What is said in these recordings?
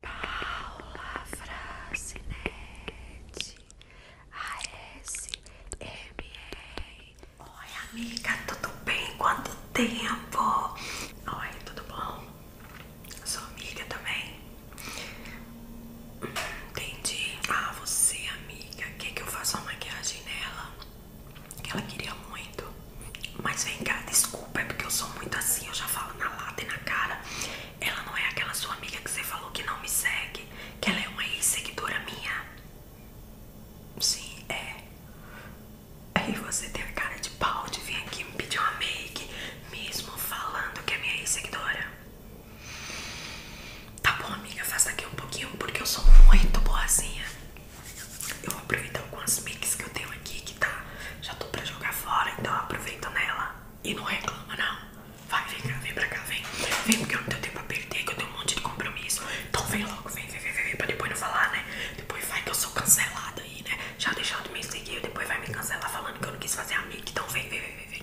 Paula Francinete ASMR Oi amiga, tudo bem? Quanto tempo? Oi, tudo bom? Sou amiga também? Hum, entendi Ah, você amiga, quer que eu faça uma maquiagem nela? ela queria muito mas vem cá, desculpa, é porque eu sou muito assim, eu já falo na lata e na cara. Ela não é aquela sua amiga que você falou que não me segue, que ela é uma ex-seguidora minha. Sim, é. Aí você tem a cara de pau de vir aqui me pedir uma make, mesmo falando que é minha ex-seguidora. Tá bom, amiga, faça aqui um pouquinho, porque eu sou muito boazinha. Eu vou aproveitar algumas mix que eu tenho aqui que tá. Já tô pra jogar fora, então aproveita nela e não reclama, não. Vai, vem cá, vem pra cá, vem. Vem porque eu não tenho tempo pra perder, que eu tenho um monte de compromisso. Então vem logo, vem, vem, vem, vem, pra depois não falar, né? Depois vai que eu sou cancelada aí, né? Já deixando me seguir, depois vai me cancelar falando que eu não quis fazer a mic. Então vem, vem, vem, vem, vem.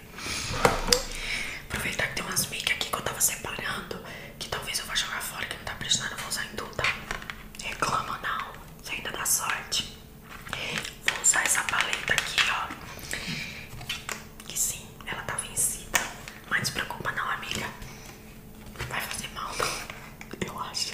Aproveitar que tem umas mic aqui que eu tava separando, que talvez eu vá jogar fora, que não tá prestando, eu vou usar em tudo, tá? Reclama não que ainda dá sorte. Vou usar essa paleta aqui, ó. Que sim, ela tá vencida. Mas não se preocupa não, amiga. vai fazer mal, Eu acho.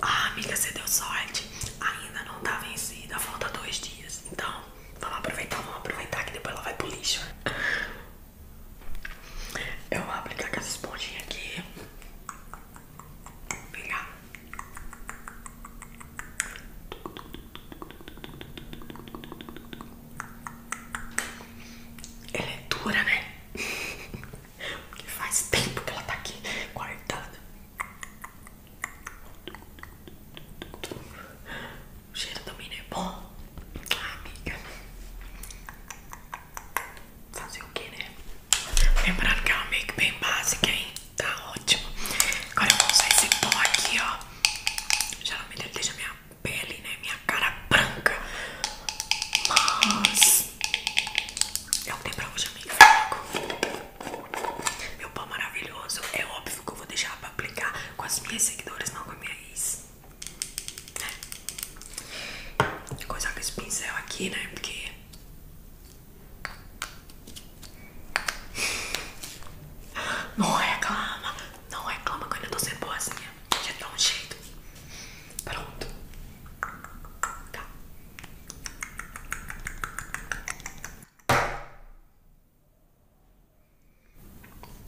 Ah, amiga, você deu sorte. Ainda não tá vencida. Falta dois dias. Então, vamos aproveitar, vamos aproveitar que depois ela vai pro lixo. Eu vou aplicar com essa esponjinha aqui. Pegar. Ela é dura, né? Porque faz tempo que ela tá aqui guardada. O cheiro do milho é bom. Ai, amiga. Fazer o que, né? Lembrando que é uma make bem básica, hein? Tá ótimo. Agora eu vou usar esse pó aqui, ó. Geralmente ele deixa minha pele, né? Minha cara branca. Mas é o que tem pra hoje, amiga. Meu pó maravilhoso. É óbvio que eu vou deixar pra aplicar com as minhas seguidoras, não com a minha ex. É. Vou coisar com esse pincel aqui, né? Porque. Não reclama, não reclama que eu ainda tô sendo boazinha. Já dá tá um jeito. Pronto. Tá.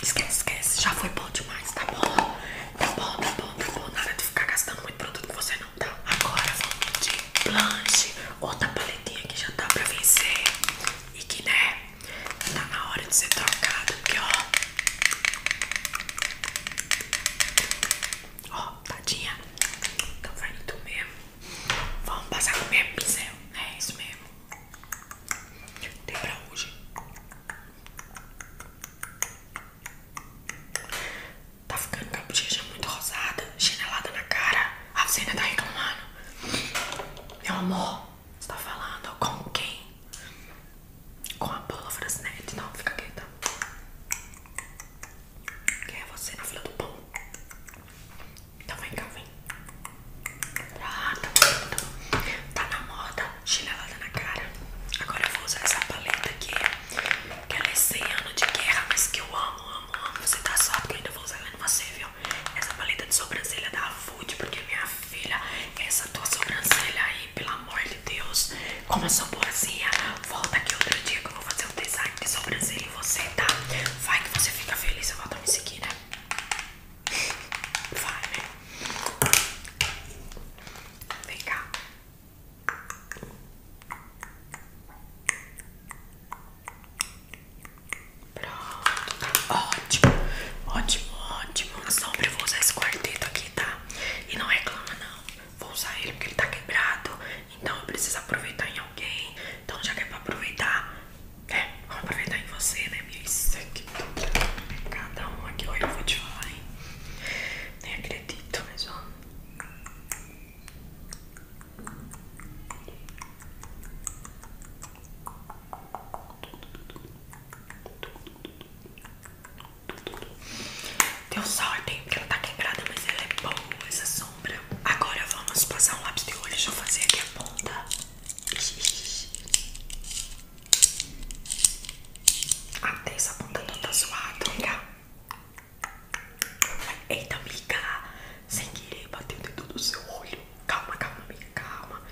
Esquece, esquece. Já foi bom demais, tá bom? Tá bom, tá bom, tá bom. Nada de ficar gastando muito produto que você não tá. Agora vamos de blanche. Outra paletinha que já tá pra vencer. E que, né, tá na hora de ser trocada. Porque, ó. Ó, tadinha. Então vai em mesmo. Vamos passar com o mesmo pincel. É isso mesmo. Tem pra hoje. Tá ficando com muito rosada, chinelada na cara. A Zena tá mano Meu amor, você tá falando com quem? Com a Paula Frasnetti. Não, fica quieta. Quem é você na fila do pão? Então vem cá, vem. Ah, tá bonito. Tá na moda, chinelada na cara. Agora eu vou usar essa paleta aqui. Que ela é 100 ano de guerra, mas que eu amo, amo, amo. Você tá só porque eu ainda vou usar ela em você, viu? Essa paleta de sobrancelha da Food, porque é minha filha, essa tua sobrancelha aí, pelo amor de Deus, como eu sou boazinha, volta aqui outro dia que eu vou fazer um design de sobrancelha em você, tá? Vai que você fica feliz, e volta a me seguir, né? Vai, né? Vem cá. Pronto, tá ótimo, ótimo, ótimo. só sombra eu vou usar esse quarteto aqui, tá? E não reclama, é não. Vou usar ele porque ele tá quebrado. Então eu preciso aproveitar em alguém. Então, já que é pra aproveitar, é, vamos aproveitar em você, né, minha? Isso aqui, cada um aqui, olha, eu vou te falar, hein? Nem acredito, mas ó. Deu sorte, hein? Porque ela tá quebrada, mas ela é boa, essa sombra. Agora vamos passar um lápis de olho. Deixa eu fazer aqui a ponta. Até essa ponta toda zoada, amiga. Eita, amiga. Sem querer, bateu o dedo do seu olho. Calma, calma, amiga, calma.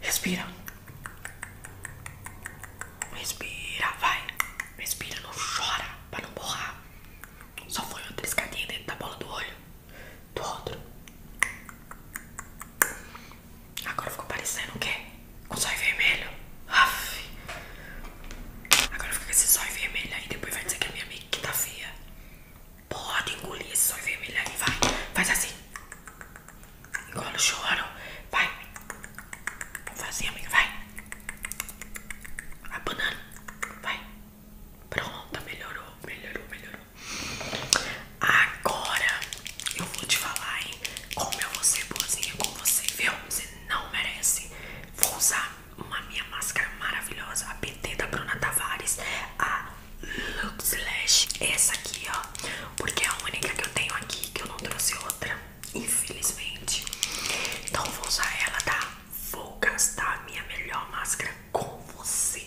Respira. Respira, vai. Respira, não chora pra não borrar. Só foi uma triscadinha dentro da bola do olho do outro. Agora ficou parecendo o quê? Um zóio vermelho. Aff. Agora fica com esse zóio vermelho aí. Depois vai dizer que é minha amiga que tá feia. Pode engolir esse zóio vermelho aí. Vai. Faz assim. Engola o choro. Vai. Vamos fazer, amiga. Vai. A banana. Vai pronta melhorou, melhorou, melhorou. Agora eu vou te falar, hein? Como eu vou ser boazinha com você, viu? Você não merece. Vou usar uma minha máscara maravilhosa, a PT da Bruna Tavares, a Lux Lash. Essa aqui, ó. Porque é a única que eu tenho aqui, que eu não trouxe outra, infelizmente. Então eu vou usar ela, tá? Vou gastar a minha melhor máscara com você.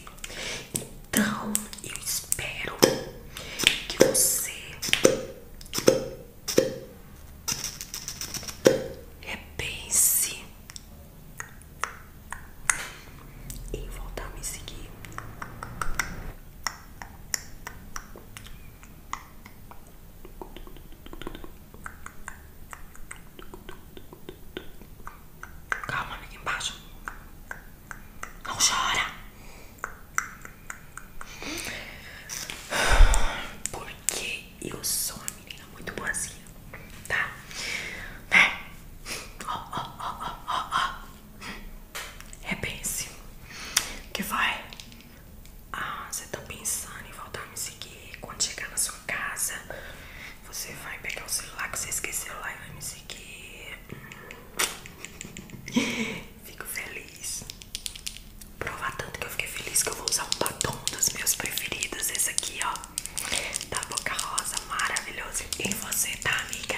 Então, eu espero que você repense em voltar a me seguir. Calma, amiga, embaixo. Não chora. Porque eu sou uma menina muito boazinha, tá? é Ó, ó, ó, ó, ó, Repense. É assim o que vai? Ah, você tá pensando em voltar a me seguir quando chegar na sua casa. Você vai pegar o celular que você esqueceu lá e vai me seguir. Fico feliz. Provar tanto que eu fiquei feliz que eu vou usar um batom dos meus preferidos. Esse aqui, ó. Da Boca Rosa. Maravilhoso. E você, tá, amiga?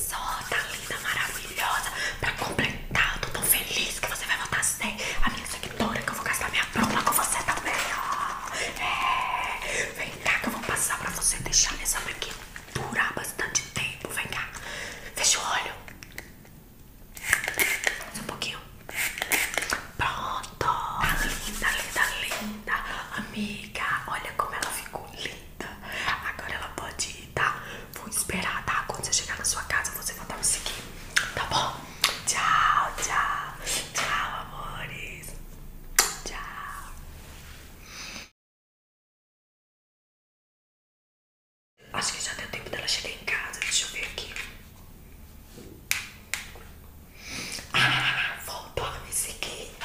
só, tá linda, maravilhosa. Pra completar, tô tão feliz que você vai votar sem a minha seguidora, que eu vou gastar minha bruma com você também, é, vem cá que eu vou passar pra você deixar nessa aqui durar bastante tempo. Vem cá, fecha o olho. Só um pouquinho. Pronto, tá linda, linda, linda. Amiga, olha como ela ficou linda. Agora ela pode ir, tá? Vou esperar, tá? Quando você chegar na sua casa, você vai dar um seguir. Tá bom? Tchau, tchau. Tchau, amores. Tchau. Acho que já deu tempo dela chegar em casa. Deixa eu ver aqui. Ah, voltou a me seguir.